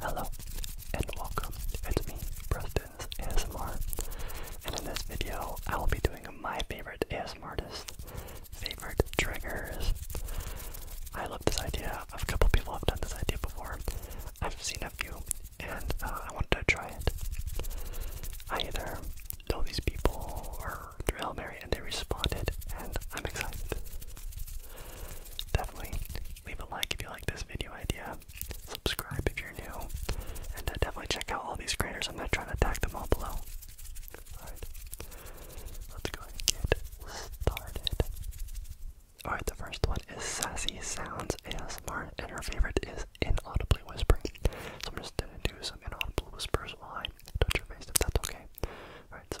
Hello and welcome. It's me, Preston's ASMR. And in this video, I will be doing my favorite ASMR artist, favorite triggers. I love this idea. A couple people have done this idea before. I've seen a few, and uh, I wanted to try it. I either know these people or Drill Mary, and they responded, and I'm excited definitely leave a like if you like this video idea. Subscribe if you're new, and uh, definitely check out all these creators. I'm not trying to tag them all below. Alright, let's go and get started. Alright, the first one is Sassy Sounds ASMR, and her favorite is inaudibly whispering. So I'm just gonna do some inaudible whispers Why touch your face, if that's okay. Alright, so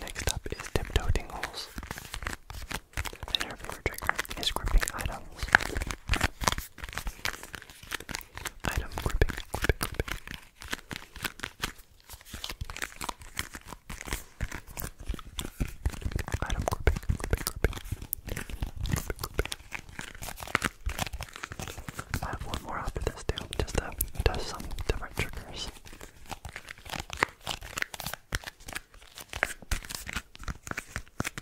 Next up is tiptoe tingles. The nerve trigger is gripping items Item gripping, gripping, gripping. Item gripping, gripping, gripping. I have one more after this too, just to test some different triggers.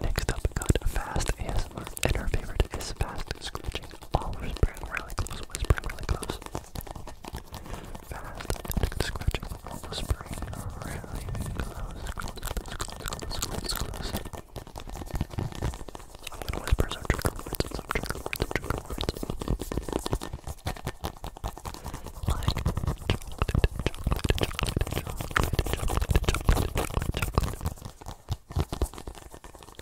Next up, got Fast ASMR, and her favorite is Fast Scratching. All whispering really close, whispering really close. Fast scratching all the spring. Really close, close, close, close, close, close. I'm gonna whisper some trigger words, some trigger words, some trigger words. Like chocolate, chocolate, chocolate, chocolate, chocolate, chocolate, chocolate.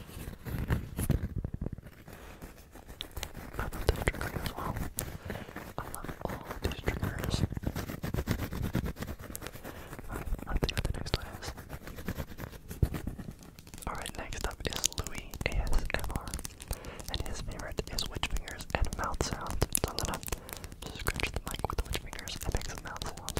I love this trigger as well. I love all of these triggers. Alright, on the next one Alright, next up is Louis ASMR. And his favorite is witch fingers and mouth sounds. So I'm going scratch the mic with the witch fingers and make some mouth sounds.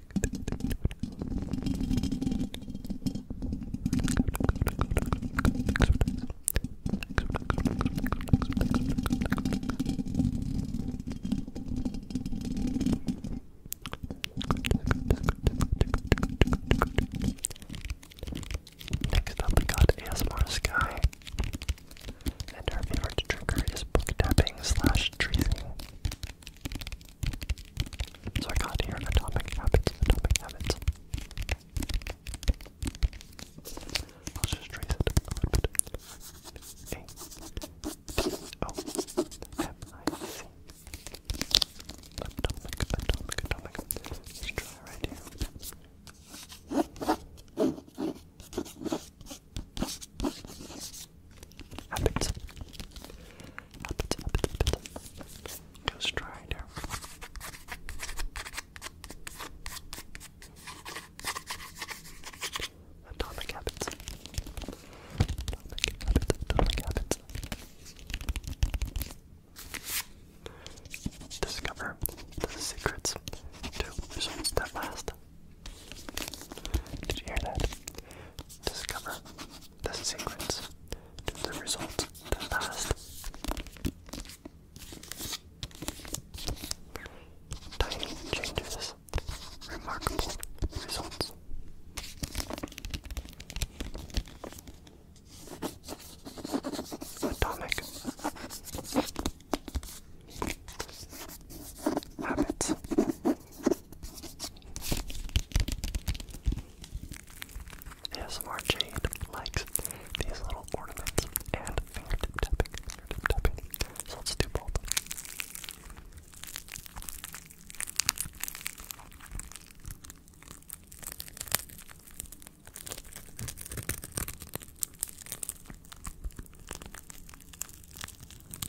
Next up, we got ASMR Sky, and our favorite trigger is book tapping slash tracing. So I got here atomic habits, atomic habits. I'll just trace it a Atomic, atomic, atomic. Let's try right here. Habits. Habits, habits, habits. Just try there. Atomic habits. Atomic habits, atomic habits. Discover the secrets to results that last. Did you hear that? Discover the sequence to the result the last tiny changes, remarkable results. Atomic habits ASMR Jade likes these little ornaments and fingertip tapping, fingertip tapping. So let's do both.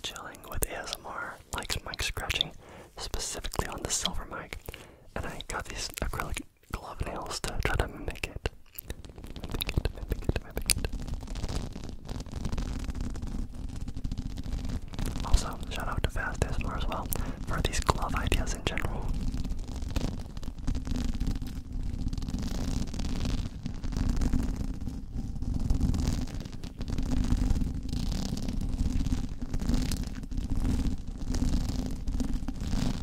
Chilling with ASMR likes mic scratching, specifically on the silver mic, and I got these acrylic glove nails to try to mimic it. Also, shout out to Fast ASMR as well for these glove ideas in general.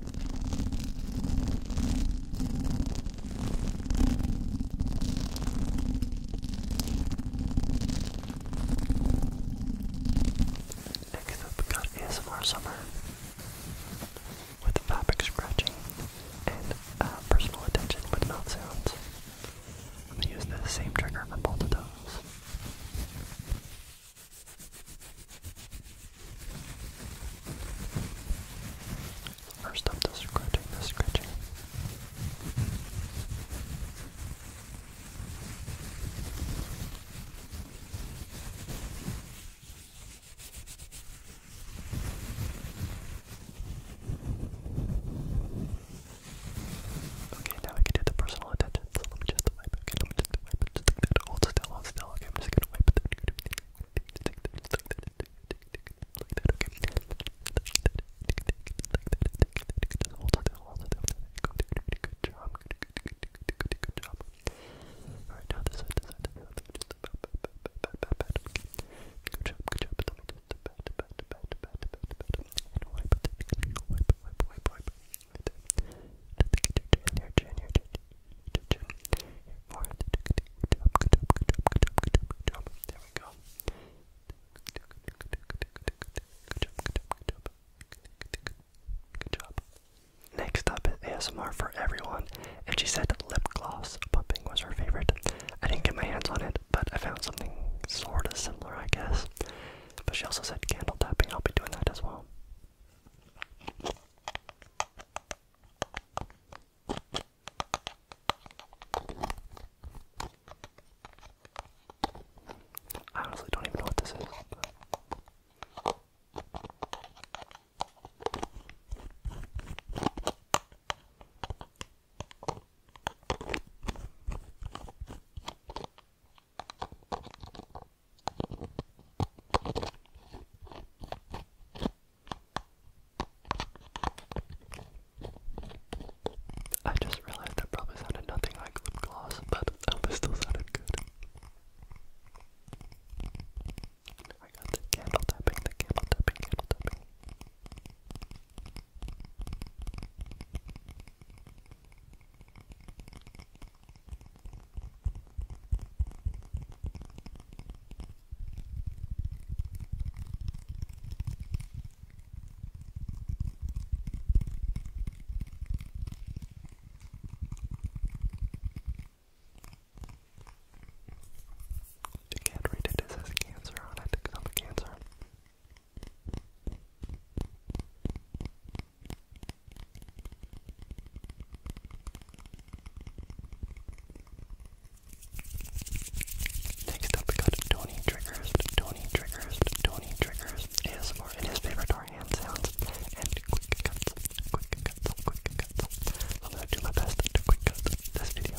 Next up, we ASMR Summer with fabric scratching and uh, personal attention with mouth sounds. I'm going to use the same trigger for both of those. First up, the scratching, the scratching. Okay, now we can do the personal attention, let me just to wipe it. Okay, I'm just gonna wipe it. Just a bit. Hold still, hold still. Okay, I'm just gonna wipe it. Like that, okay. Just hold still, hold still. Good job. Good job. Alright, now this side, this side, this side. Just pat, pat, pat, pat. Good job, good job. Let me just pat, pat, pat, pat, pat, pat. And wipe it. Wipe, wipe, wipe, wipe. Next up is ASMR for everyone, and she said lip gloss pumping was her favorite. I didn't get my hands on it, but I found something sort of similar, I guess. But she also said candle tapping, I'll be doing that as well. I honestly don't even know what this is. I just realized that probably sounded nothing like lip gloss, but I hope it still sounded good. I got the candle tapping, the candle tapping, candle tapping. You can't read it, it says cancer on it because I'm cancer. Next up, we got Tony Triggers, Tony Triggers, Tony Triggers, ASMR, and his favorite are hand sounds and quick cuts, quick cuts, quick cuts. I'm gonna do my best to quick cut this video.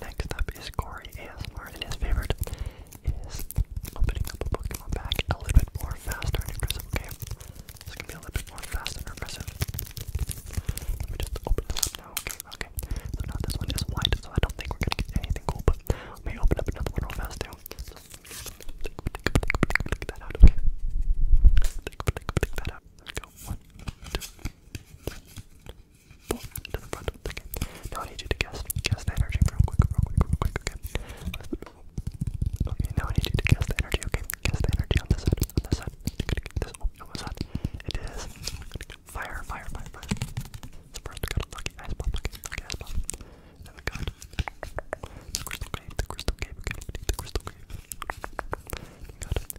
Next up is Corey ASMR, and his favorite is opening up a Pokemon pack a little bit more fast and aggressive. Okay, this can be a little bit more faster and aggressive. Let me just open this up now. Okay, So now this one is white, so I don't think we're gonna get anything cool, but let me open up another one real fast too go. One, two, three, four. To the front. Okay. Now I need you to guess. Guess the energy real quick, real quick, real quick. Okay. Okay. Now I need you to guess the energy. Okay. Guess the energy on this side. On this side. This oh, on this side. It is fire, fire, fire, fire. So first we got a lucky ice bomb. Okay. Lucky ice bomb. Then we got the crystal cave. The crystal cave. Okay. The crystal cave. We got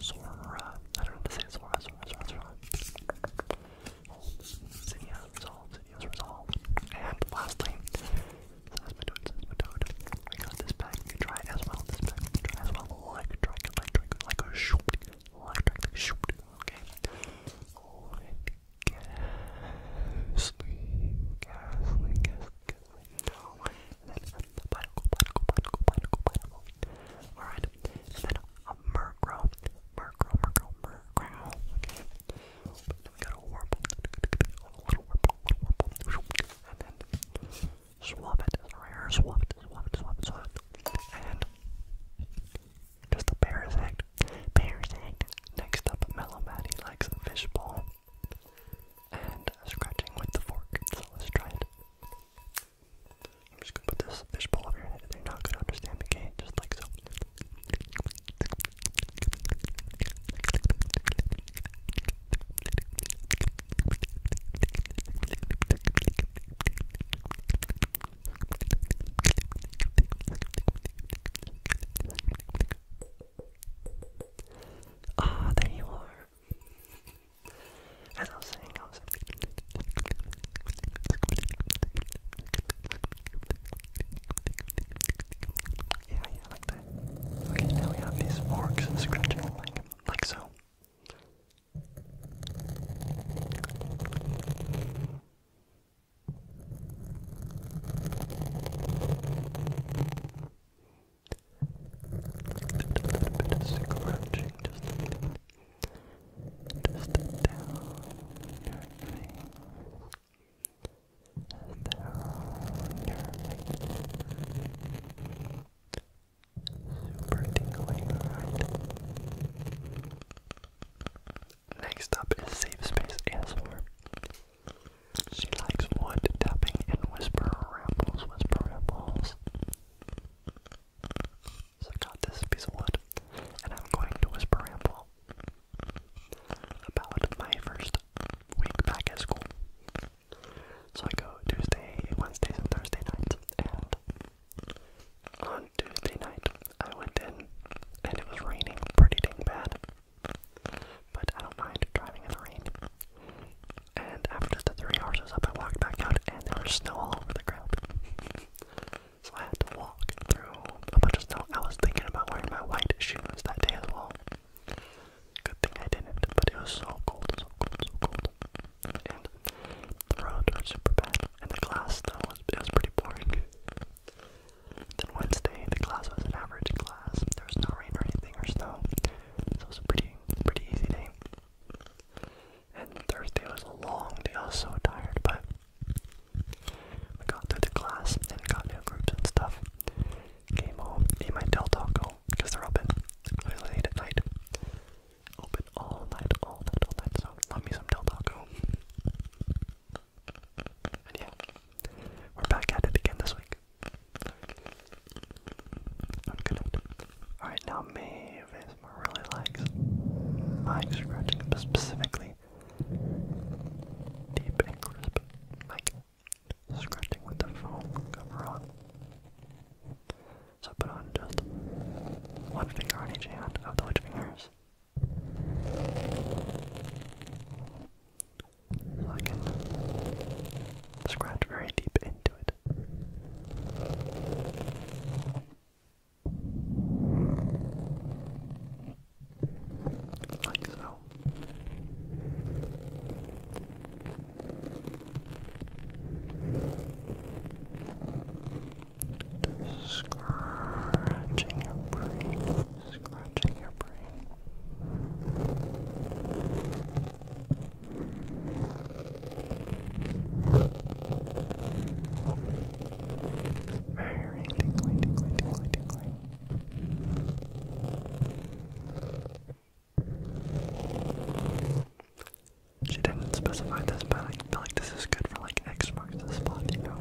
Sora. I don't know how to Sora, Sora, Sora, Sora. Obsidian resolved, Obsidian resolved. And lastly, I got this pack, you can try it as well. This pack, try as well. Electric, electric, like a shoot. like a shoot. Okay. Let gas, gas, and then a Pineapple, Pineapple, Pineapple, Pineapple, Pineapple. Alright. And then a Murkrow. Murkrow, Murkrow, Murkrow. Okay. then we got a Warble. A little Warble, a little Warble. And then Swabbit is right here. Swabbit, Swabbit, Swabbit, Swabbit. And just a Parasect. Parasect. Next up, Mellow Matty likes a fishbowl and scratching with the fork. So let's try it. I'm just gonna put this fishbowl over your head. They're not gonna understand me, okay? Just like so. Ah, there you are. As I was saying, yeah, yeah, like that. Okay, now we have these forks scratching like so a little bit of scratching, just a bit, down your face, and down your face. Super tingling, right? Next up is Save Space ASMR. She likes wood tapping and whisper rambles, whisper rambles. So I got this piece of wood, and I'm going to whisper ramble about my first week back at school. So I go Tuesday, Wednesday, and Thursday nights, and on Tuesday night I went in, and it was raining pretty dang bad. But I don't mind driving in the rain. And after the three hours was up, I walked back out, and there was snow all over the ground. so I had to walk through a bunch of snow. I was thinking about wearing my white shoes that day as well. Good thing I didn't, but it was so cold, so cold, so cold. And the roads were super bad, and the class though was it was pretty boring. Then Wednesday, the class was an average class. There was no rain or anything or snow, so it was a pretty Pretty easy day. And Thursday was a long day. I was so tired, but we got through the class and got new groups and stuff. Came home, ate my Del Taco because they're open really late at night. Open all night, all night, all night. So love me some Del Taco. And yeah, we're back at it again this week. Unconnected. Alright, now Maeve ASMR really likes, likes scratching specifically deep and crisp, like scratching with the foam cover on. So put on just one finger on each hand of the witch fingers like it. Scratch very deep into it. Like so. Scratching your brain, scratching your brain. She didn't specify this, but I feel like this is good for like X marks the spot, you know?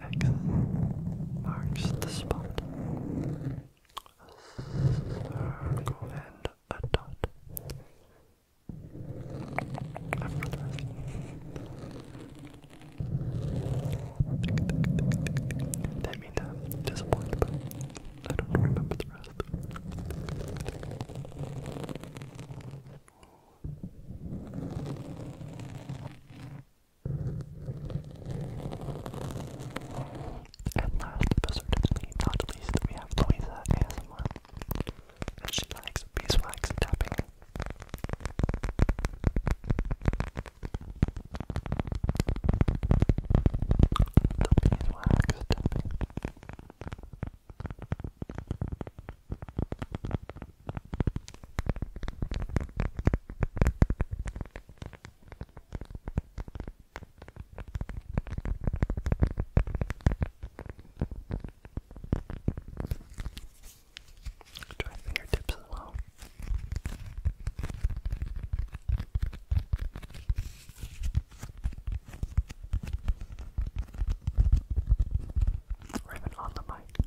Like X marks the spot circle and a dot. That means I'm disappointed, I don't remember the rest. And last but certainly not least, we have Louisa ASMR. And she likes beeswax tapping. The beeswax tapping. Try fingertips as well. Ribbon on the mic.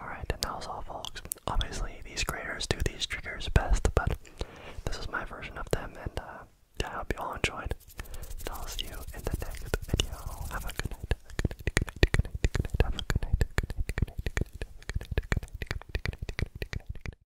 Alright, and that was all, folks. Obviously, these creators do these triggers best, but this is my version of them, and I hope you all enjoyed. And I'll see you in the next video. Have a good night. Good night, good night, good night, good night. Have a good night, good night, good night. Good night, good night, good night, good night.